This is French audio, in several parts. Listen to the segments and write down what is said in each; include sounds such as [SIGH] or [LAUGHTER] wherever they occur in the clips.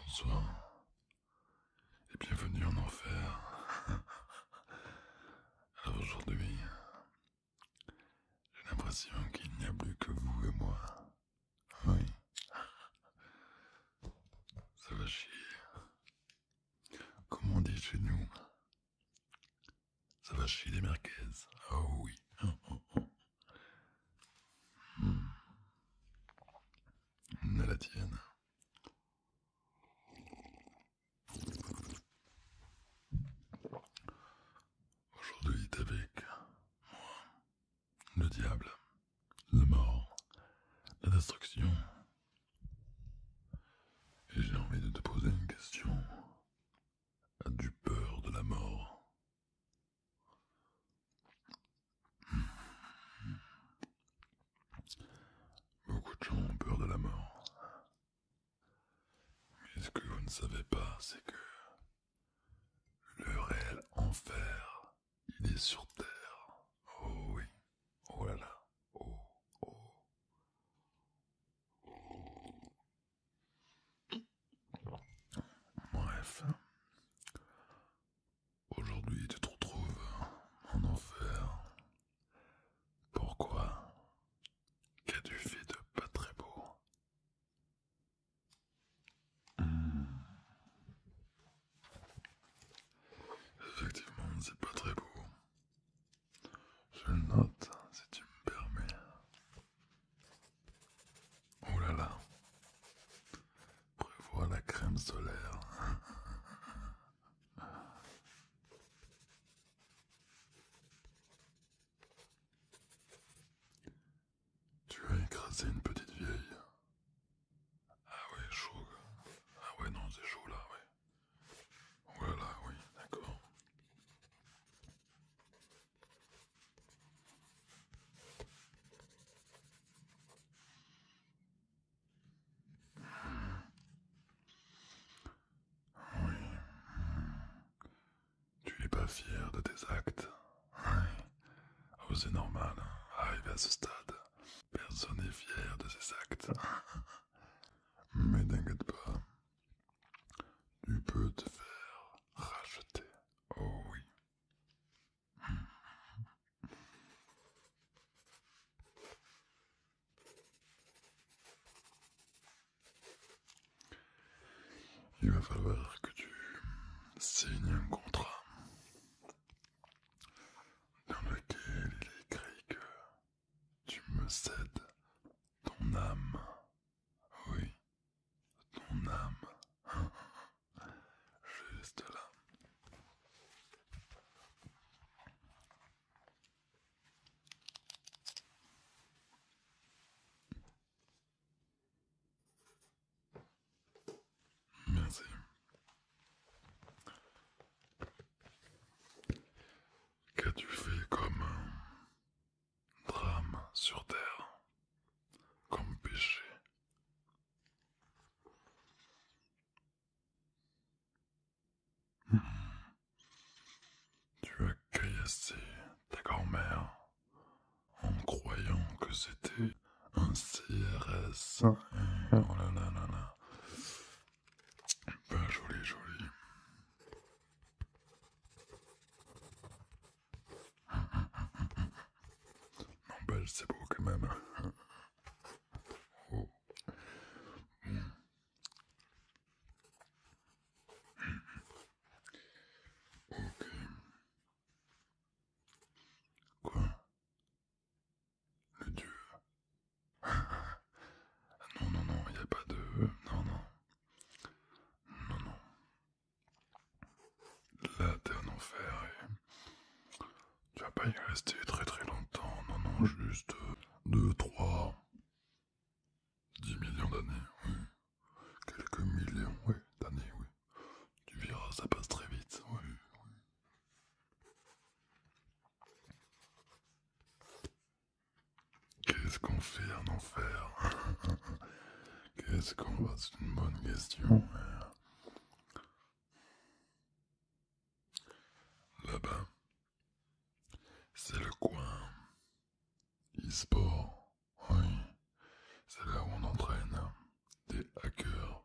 Bonsoir et bienvenue en enfer. aujourd'hui, j'ai l'impression qu'il n'y a plus que vous et moi. Oui. Ça va chier. Comment on dit chez nous. Ça va chier les mercaises, Oh oui. À [LAUGHS] hmm. la tienne. Aujourd'hui avec moi, le diable, la mort, la destruction. Et j'ai envie de te poser une question. as du peur de la mort Beaucoup de gens ont peur de la mort. Mais ce que vous ne savez pas, c'est que le réel enfer, il est sur terre. Oh oui, oh là là, oh, oh. Bref, aujourd'hui tu te retrouves en enfer. Pourquoi Qu'as-tu fait de pas très beau Effectivement, c'est pas très beau. Je le note, si tu me permets. Oh là là. Prévois la crème solaire. Tu as écrasé une petite vieille. Ah ouais, chaud. Ah ouais, non, c'est chaud là, ouais. Voilà, oui, d'accord. Hmm. Oui. Hmm. Tu n'es pas fier de tes actes. Hein? Oh, c'est normal. Hein. Arrivé à ce stade, personne n'est fier de ses actes. [LAUGHS] Mais t'inquiète pas. Tu peux te faire racheter. Oh oui. Il va falloir que tu signes un contrat dans lequel il écrit que tu me cèdes ton âme. Oui, ton âme. [LAUGHS] Juste là. Qu'as-tu fait comme un euh, drame sur terre, comme péché hmm. Tu as caillassé ta grand-mère en croyant que c'était un CRS. Ah. Oh là là là là. Pas joli, joli. mais c'est beau quand même. Oh. Hmm. Quoi Le dieu Non, non, non, il n'y a pas de... Non, non. Non, non. Là, t'es en enfer et... Tu vas pas y rester très très longtemps. Non, non, juste... 2, 3... 10 millions d'années, oui quelques millions oui, d'années, oui. Tu verras, ça passe très vite, Qu'est-ce qu'on fait en enfer [LAUGHS] Qu'est-ce qu'on va C'est une bonne question. Là-bas, c'est le coin e-sport, oui, c'est là où on entraîne hein. des hackers.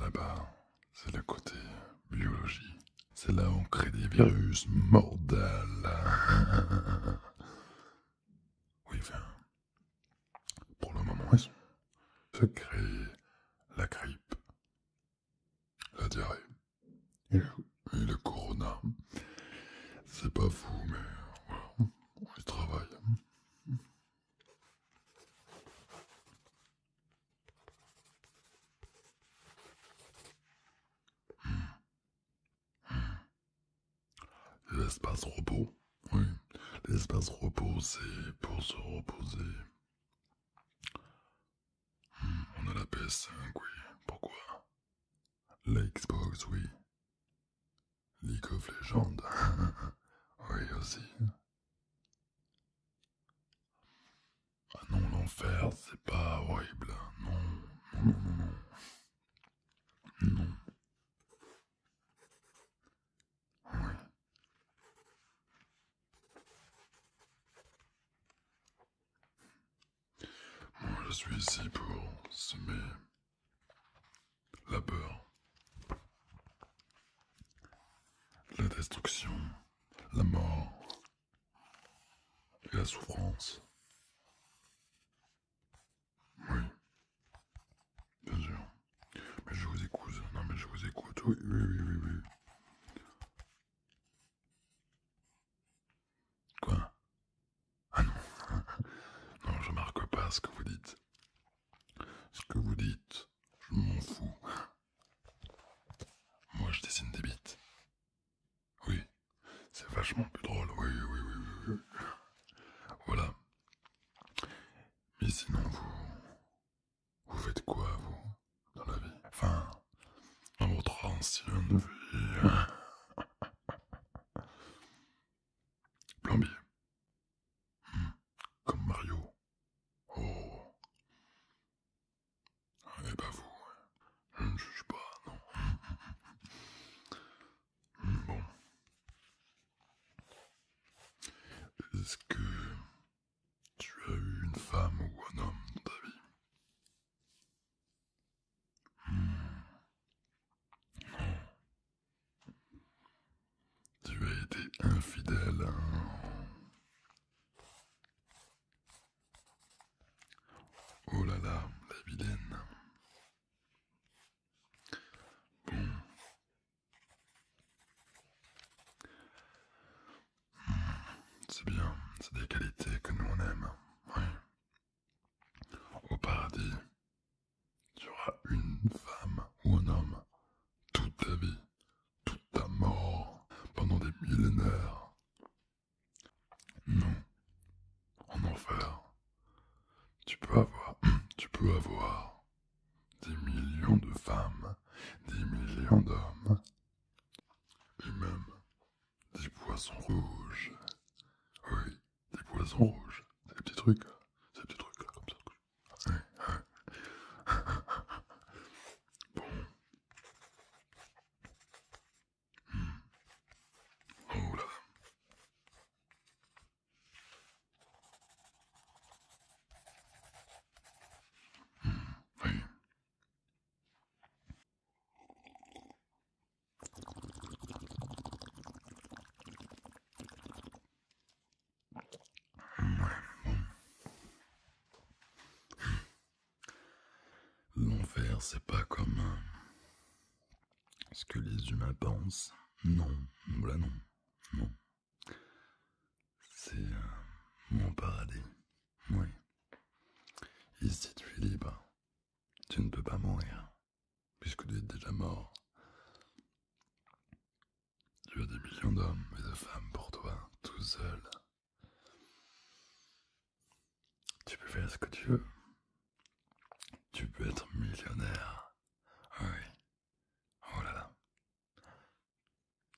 Là-bas, c'est le côté biologie. C'est là où on crée des virus mortels. [LAUGHS] oui, enfin, pour le moment, c'est ça crée la grippe, la diarrhée et le, corona. C'est pas fou, mais voilà, on y travaille. L'espace repos, oui. L'espace repos, c'est pour se reposer. On a la PS5, oui. Pourquoi La Xbox, oui. League of Legends. [LAUGHS] oui, aussi. Ah non, l'enfer, c'est pas horrible. Non, non, non, non, non. Non. Oui. Moi, je suis ici pour semer la peur, la destruction, la mort et la souffrance. Oui, bien sûr. Mais je vous écoute. Non, mais je vous écoute. oui, oui, oui. oui. Quoi Ah non. [LAUGHS] non, je marque pas ce que vous dites. Ce que vous dites, je m'en fous. Moi, je dessine des bites. Oui, c'est vachement plus drôle. Oui, oui, oui, oui. oui. Voilà. Mais sinon, vous. Vous faites quoi, vous, dans la vie Enfin, dans votre ancienne vie. Hein [LAUGHS] Plombier. Hmm, comme Mario. Oh. Ah, eh n'est ben, pas vous, je ne juge pas, non. Hein hmm, bon. Est-ce que tu as eu une femme ou un homme dans ta vie hmm. Tu as été infidèle hein. Oh là là, la vilaine. Bon, c'est bien, c'est des qualités que nous on aime. Hein. Oui. Au paradis, tu auras une femme ou un homme toute ta vie, toute ta mort, pendant des millénaires. Non, en enfer, tu peux avoir, [CLEARS THROAT] tu peux avoir des millions de femmes, des millions d'hommes, et même des poissons rouges. Oui, des poissons rouges, des petits trucs, ces petits trucs comme ça. bon. Hmm. Oh L'enfer, c'est pas comme euh, ce que les humains pensent. Non, voilà non, non. C'est euh, mon paradis, oui. Ici tu es libre, tu ne peux pas mourir, puisque tu es déjà mort. Tu as des millions d'hommes et de femmes pour toi, tout seul. Tu peux faire ce que tu veux. Tu peux être millionnaire. Ah oui. Oh là là.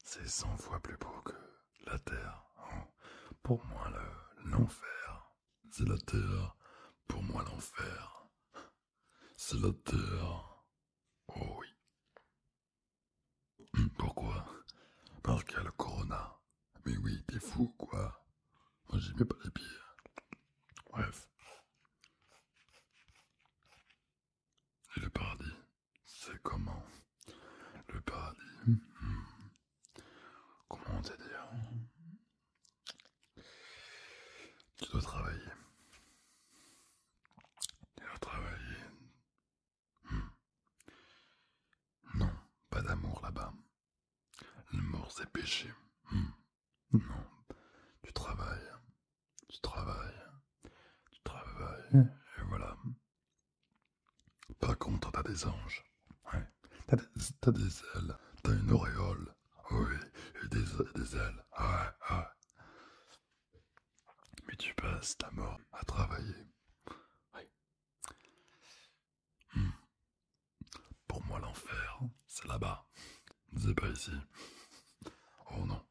C'est cent fois plus beau que la Terre. Hein. Pour moi, l'enfer. c'est la Terre. Pour moi, l'enfer. C'est la Terre. Oh oui. Hum, pourquoi Parce qu'il y a le corona. Mais oui, t'es fou, quoi. Moi, j'y mets pas les pieds. Bref. Et le paradis c'est comment Le paradis Comment te dire Tu dois travailler. Tu dois travailler. Hmm. Non, pas d'amour là-bas. mort c'est péché. Hmm. Non, tu travailles. Tu travailles, tu travailles, et voilà. Par contre, t'as des anges. Ouais. T'as des, ailes, t'as une auréole. Oui, et des, ailes. Mais tu passes ta mort à travailler. Hmm. Pour moi, l'enfer, c'est là-bas. C'est pas ici. Oh non.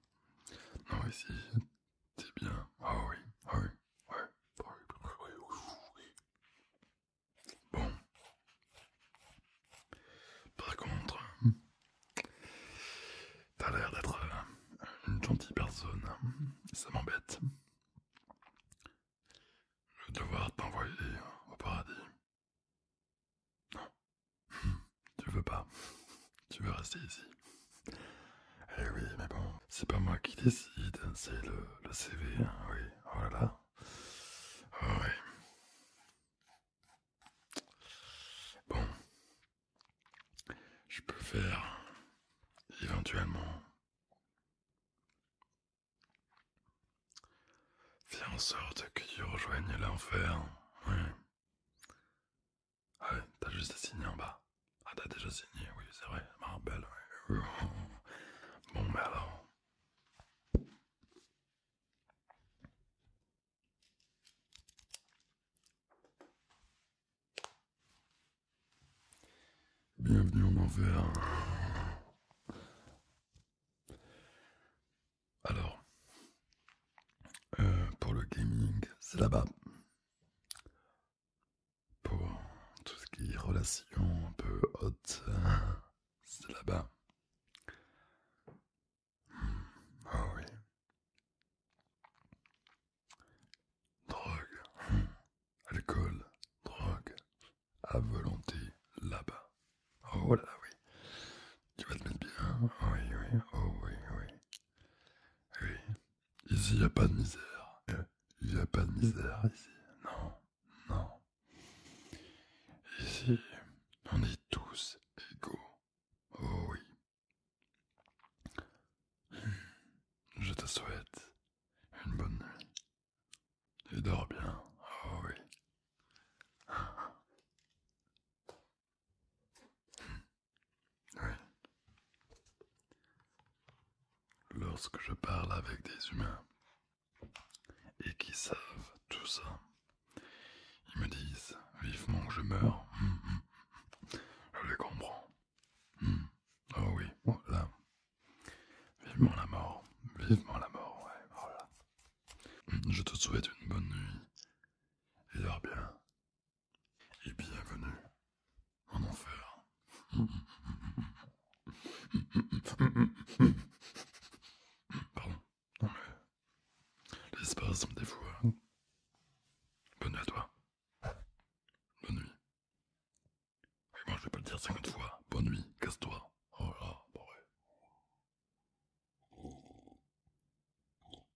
Non, ici, c'est bien. Ah oui, ah oui, ah ouais. Ah ah bon. Par contre, t'as l'air d'être une gentille personne. Ça m'embête. Je vais devoir t'envoyer au paradis. Non, tu veux pas. Tu veux rester ici. Eh oui, mais bon, c'est pas moi qui décide, c'est le, CV, hein, oui. Oh là là. Oh oui. Bon. Je peux faire éventuellement faire en sorte que tu rejoignes l'enfer. Hein. Oui. Ah t'as juste à signer en bas. Ah, t'as déjà signé, oui, c'est vrai, ma belle. [LAUGHS] Bon, mais alors. Bienvenue en enfer. Alors, euh, pour le gaming, c'est là-bas. Pour tout ce qui est relation un peu haute, [LAUGHS] c'est là-bas. Oh oui. Drogue, hmm. alcool, drogue, à volonté, là-bas. Oh là oui. Tu vas te mettre bien. Oui, oui, oh oui, oui. Eh oui, ici, il n'y a pas de misère. Eh il n'y a pas de misère ici. Non, non. Ici, on est tous égaux. Oh oui. Hmm, je te souhaite une bonne nuit. Et dors bien. Oh oui. [LAUGHS] Oui. Lorsque je parle avec des humains et qui savent tout ça, ils me disent vivement que je meurs. Hum, hum, hum, je les comprends. Oh oui, voilà. Oh vivement la mort. Vivement la mort, ouais. Voilà. Je te souhaite une bonne nuit. Et dors bien. Et bienvenue en enfer. Pardon, non mais. L'espace me fois, Bonne nuit à toi. Bonne nuit. Et moi je vais pas le dire 50 fois. Bonne nuit, casse-toi. Oh là, ouais.